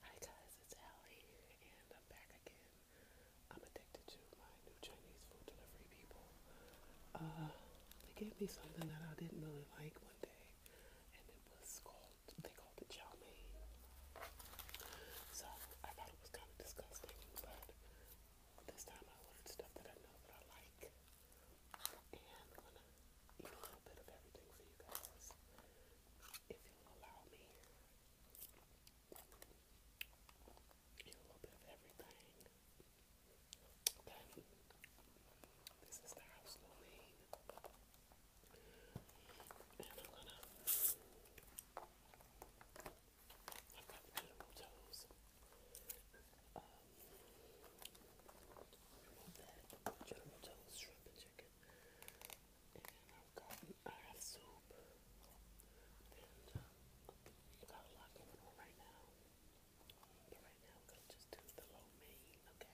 Hi guys, it's Allie, and I'm back again. I'm addicted to my new Chinese food delivery people. Uh, they gave me something that I didn't really like one day, and it was called, they called it chow mein. So I thought it was kind of disgusting, but this time I ordered stuff that I know that I like. And I'm gonna eat a little bit of everything for you guys if you allow me, a little bit of everything. Okay, this is the house domain, and I'm gonna. I've got the little toes. Um, remove that. General Toes shrimp and chicken. And I've soup. And I've got a lot going on right now. But right now, I'm going to just do the low main, okay?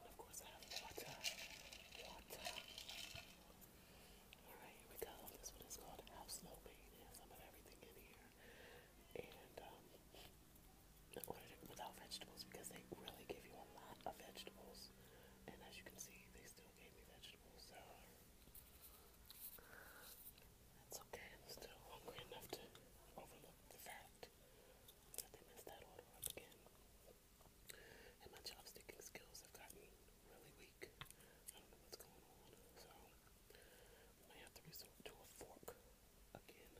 of course, I have water. Water. Alright, here we go. This one is called House Low Main. It has some of everything in here. And, ordered it without vegetables because they really give you a lot of vegetables. And as you can see, they still gave me vegetables, so that's okay. I'm still hungry enough to overlook the fact that they messed that order again. And my chopsticking skills have gotten really weak. I don't know what's going on, so I have to resort to a fork again.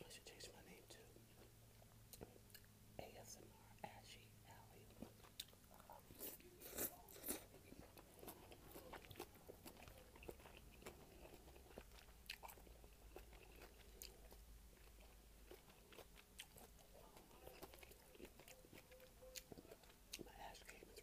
I should change my name to ASMR Ashy Alley. My ass game is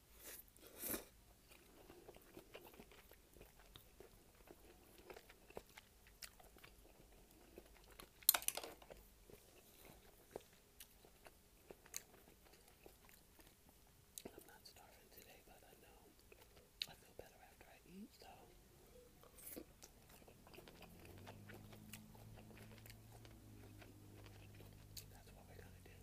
I'm not starving today, but I know I feel better after I eat, so. That's what we're gonna do.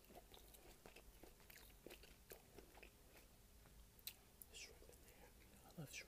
Shrimp in there. I love shrimp.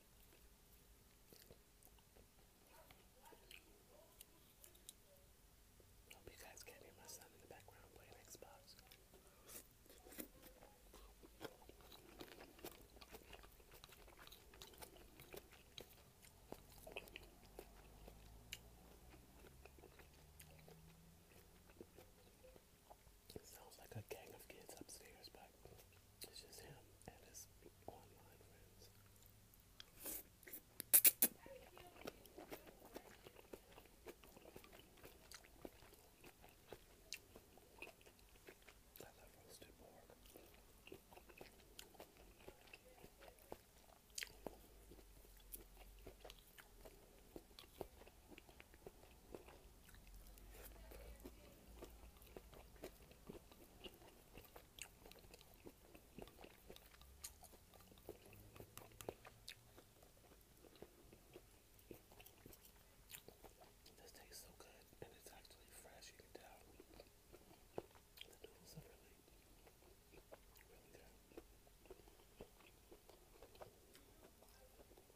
Hope you guys can my son in the background playing Xbox sounds like a gang of kids upstairs, but it's just him and his online friends. I love roasted pork. This tastes so good and it's actually fresh, you can tell. The noodles are really, really good.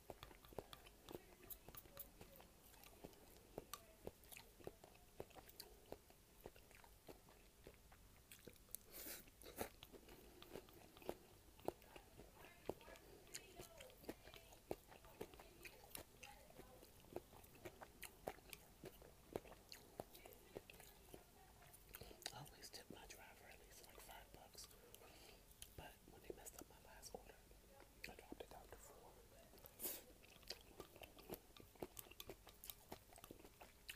I always tip my driver at least five bucks, but when they messed up my last order, I dropped it down to four.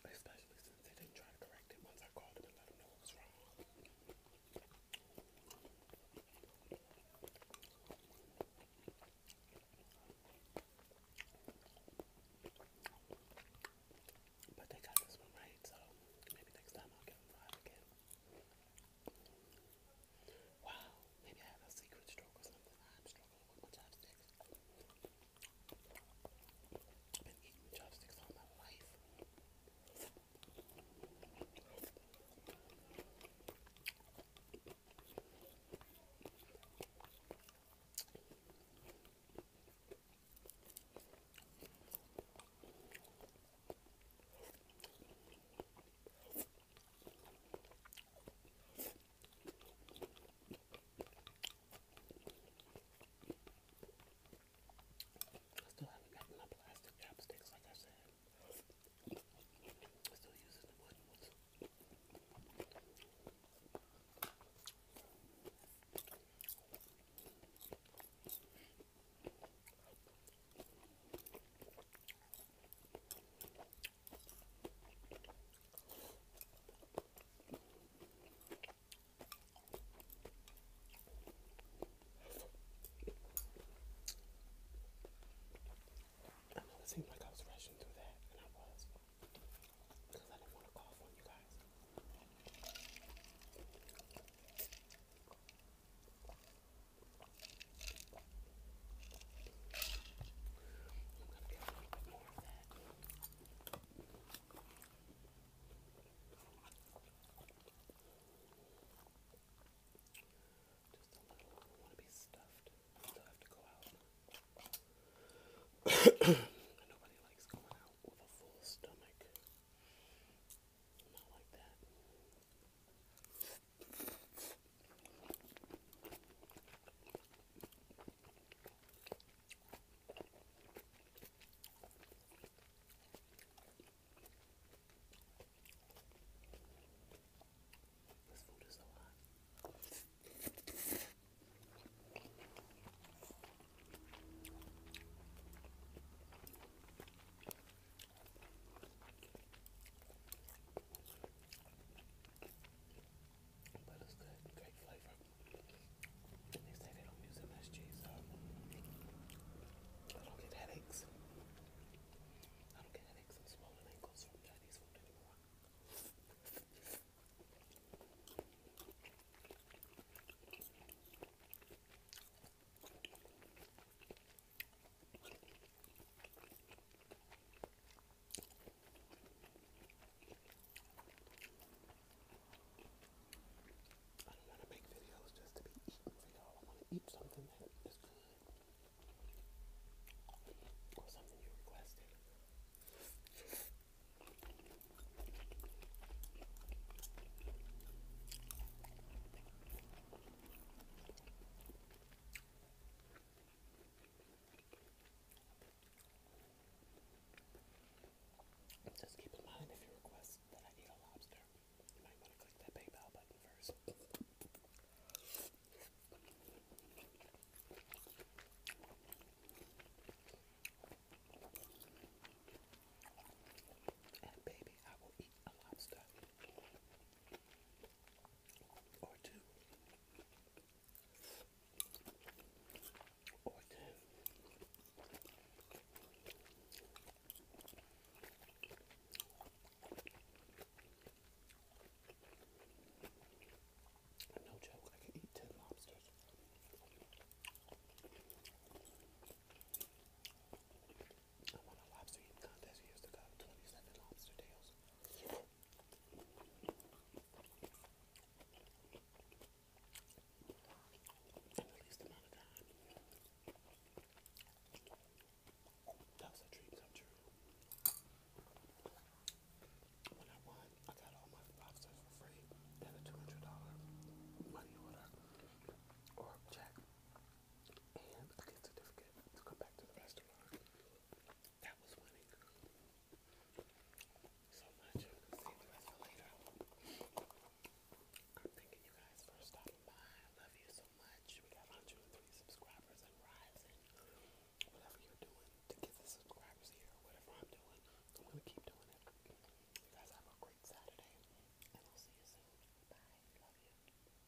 Especially since they didn't try to correct it once I called them and let them know what was wrong. But they got this one right, so maybe next time I'll get them five again. Wow, maybe I have a secret stroke or something. i have been eating chopsticks all my life. I still haven't gotten my plastic chopsticks, like I said. I'm still using the wooden ones. I know it seemed like I was rushing through that, and I was. Because I didn't want to cough on you guys. I'm going to get a little bit more of that. Just don't want to be stuffed. still have to go out. Nobody likes going out with a full stomach. Not like that. This food is so hot. But it's good, great flavor. They say they don't use MSG, so I don't get headaches. I don't get headaches and swollen ankles from Chinese food anymore. I don't want to make videos just to be eaten for y'all. I want to eat something that is good or something you requested. Just keep in mind if you request that I eat a lobster, you might want to click that PayPal button first. And baby, I will eat a lobster or two, or ten. No joke, I can eat ten lobsters. I won a lobster eating contest years ago, 27 lobster tails. In the least amount of time. That was a dream come true. When I won, I got all my lobsters for free at a $200 money order or check. And I get certificate to come back to the restaurant restaurant. That was winning. So much. Save the rest later. I'm thanking you guys for stopping by. love you so much. We got 103 subscribers and rising. Whatever you're doing to get the subscribers here, whatever I'm doing, I'm going to keep doing it. You guys have a great Saturday, and I'll see you soon. Bye. Love you.